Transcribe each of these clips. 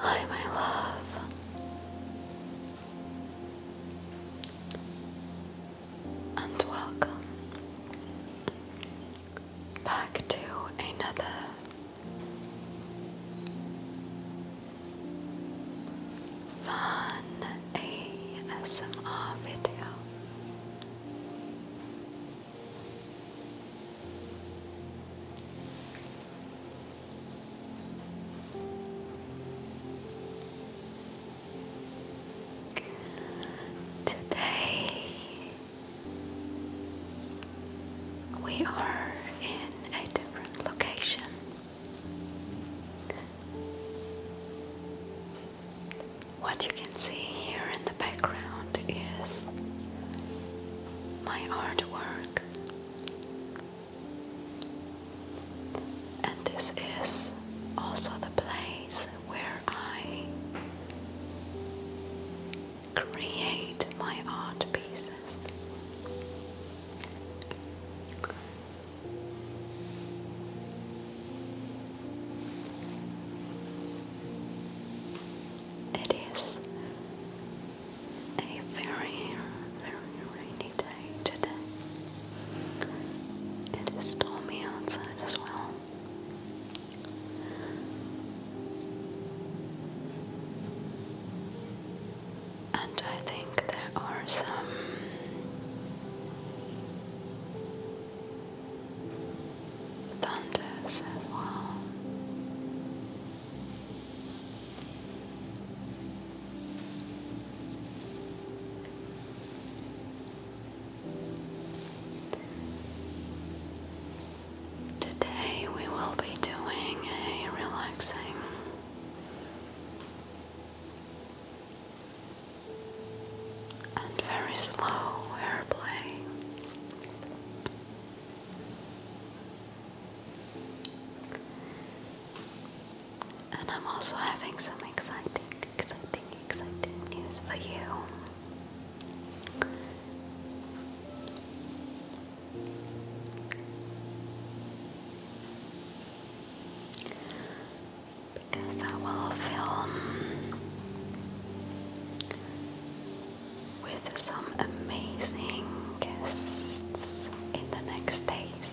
Hi, my love and welcome back to another fun ASMR video. Today we are in a different location. What you can see here in the background is my artwork, and this is also the place where I create my art pieces. It is a very, very rainy day today. It is stormy outside as well. And I think there are some thunders as well. Today we will be doing a relaxing and very slow airplay. And I'm also having some exciting exciting, exciting news for you. Because I will film with some amazing guests in the next days.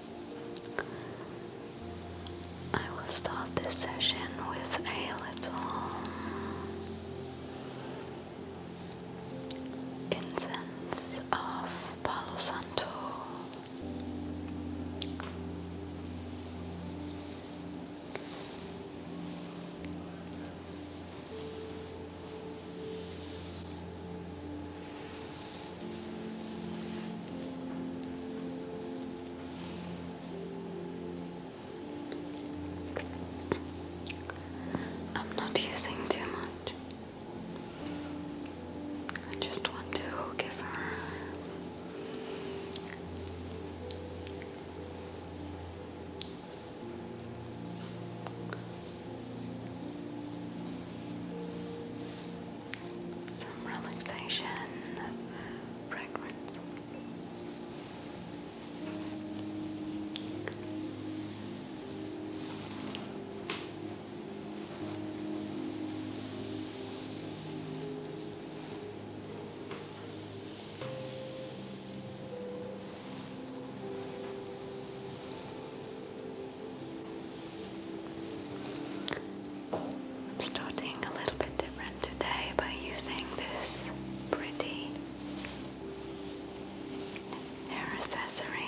I will start this session with a little incense of Palo Santo. I'm not using too much. I just want to give her some relaxation fragrance. I'm starting a little bit different today by using this pretty hair accessory.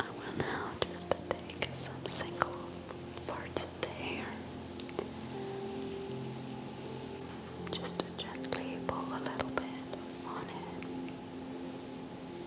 I will now just take some single parts of the hair. Just to gently pull a little bit on it.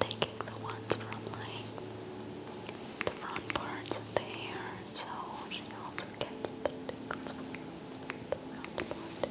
taking the ones from like the front parts of the hair, so she also gets the tickles from the front part.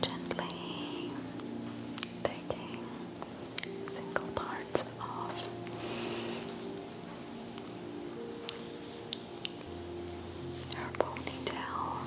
Gently taking single parts off her ponytail.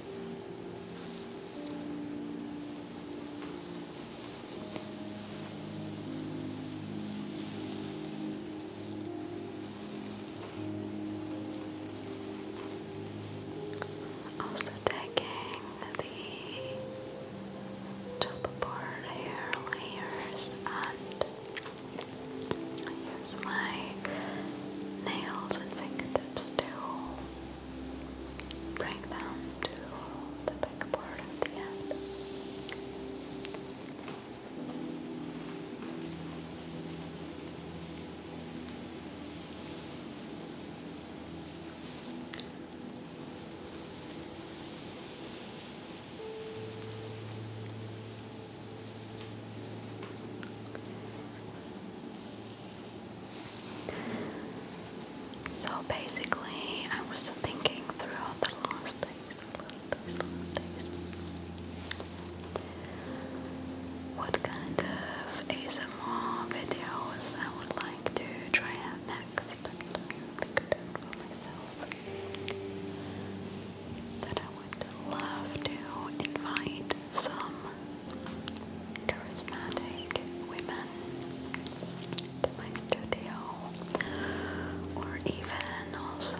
Also taking the top part here layers and here's my nails and fingertips tips to bring them to the big part at the end. So basically, I was thinking throughout the last days, what kind of ASMR videos I would like to try out next. Pick it for myself. That I would love to invite some charismatic women to my studio, or even also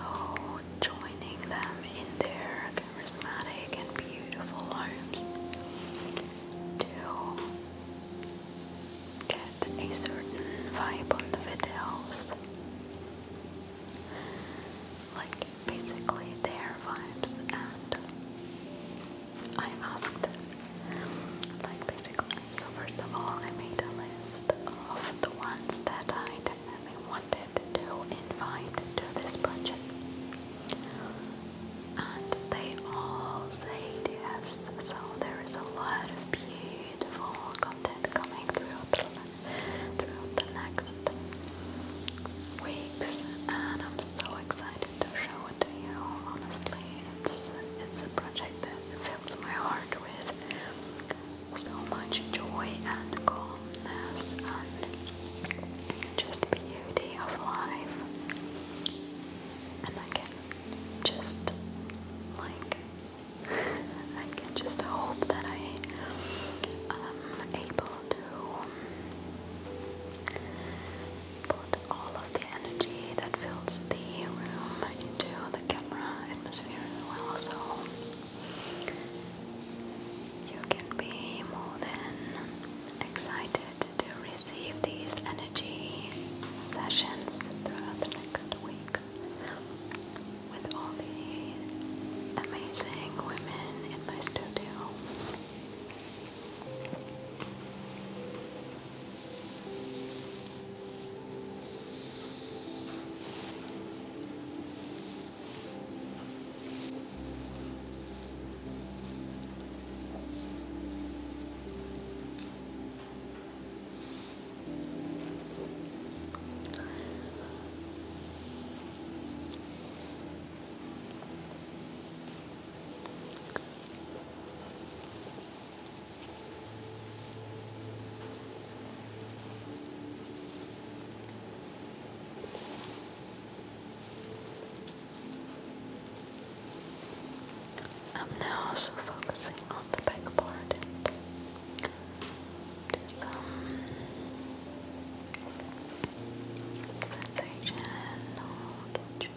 joining them in their charismatic and beautiful homes to get a certain vibe on the videos. Like basically their vibes and I asked like basically so first of all I made a list of the ones that I definitely wanted to invite to this project and they all said yes so there is a lot of beautiful content coming through throughout the next weeks, and I'm so excited to show it to you. Honestly, it's it's a project that fills my heart with so much joy and calmness and just beauty of life. And I can just like I can just hope that I am um, able to put all of the energy that fills the room into the camera atmosphere as well, you can be more than excited to receive these energy sessions throughout the next week with all the amazing women in my studio. I'm now also focusing on the back some sensation or just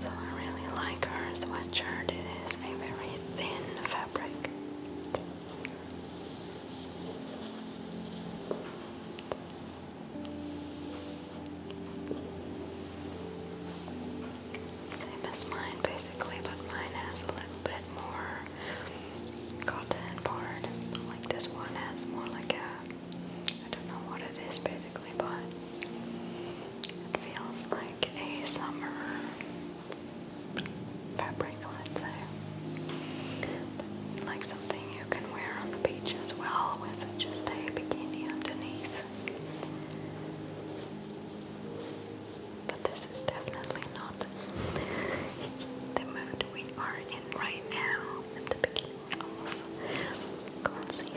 So I really like her sweatshirt. It is a thin fabric. Same as mine basically, but mine has a little bit more cotton part. Like this one has more like a, I don't know what it is basically, but it feels like a summer fabric, let's say. like something you can wear on the beach as well with just a bikini underneath. But this is definitely not the mood we are in right now at the beginning of cold season.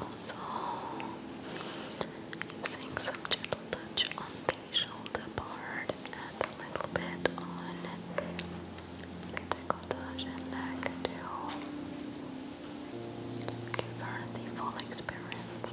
Also, using some gentle touch on the shoulder part and a little bit on the decolletage and neck to give her the full experience.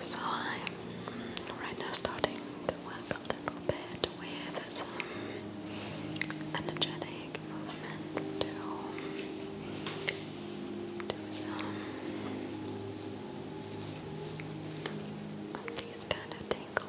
So I'm right now starting to work a little bit with energetic movement to do some of these kind of tingles.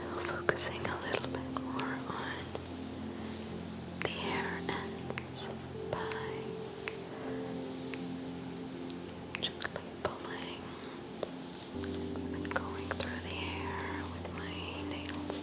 Now focusing a little bit more on the hair ends back, gently pulling and going through the hair with my nails.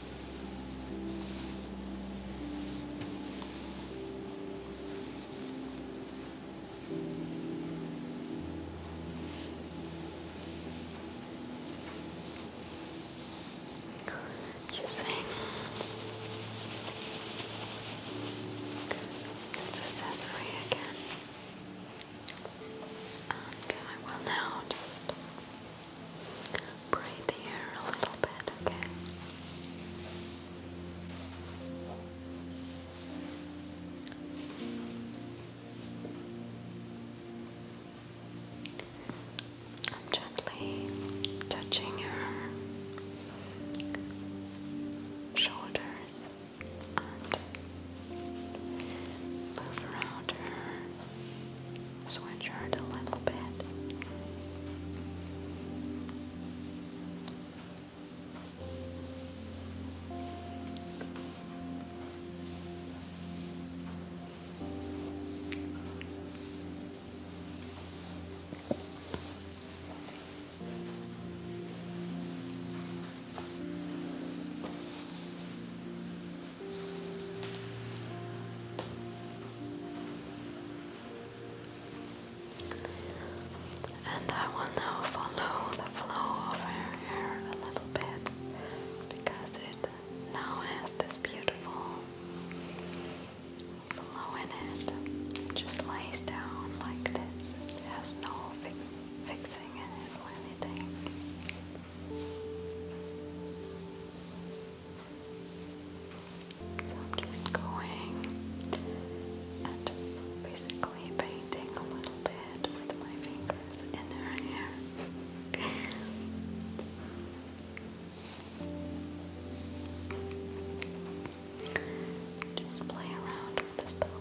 Interesting. This again. And um, I now just Breathe here a little bit, okay? I'm gently touching her shoulders and move around her sweatshirt a little bit. And I will now follow the flow of her hair a little bit because it now has this beautiful flow in it. just lays down like this. has no fixing in it or anything. So I'm just going and basically painting a little bit with my fingers in her hair. Just play around with the stuff.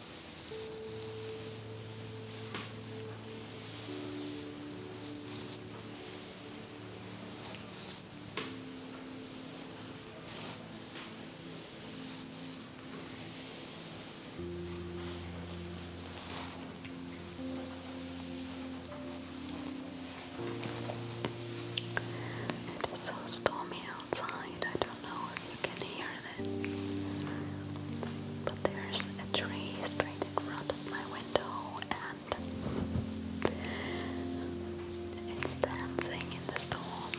It is so stormy outside. I don't know if you can hear but there's a tree straight in front of my window and it's dancing in the storm.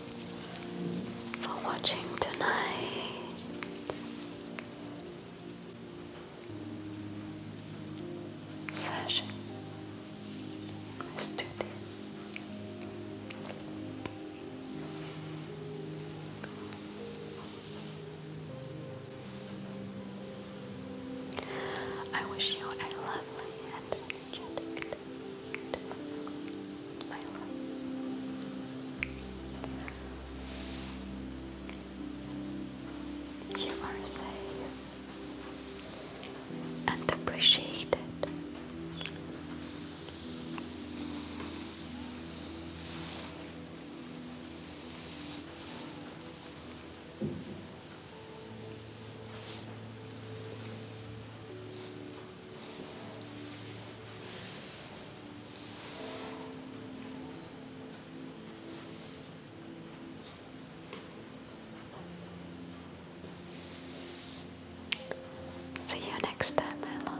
for watching tonight. Session studio. I wish you a lovely and Good. You are safe and appreciated. See you next time, my love.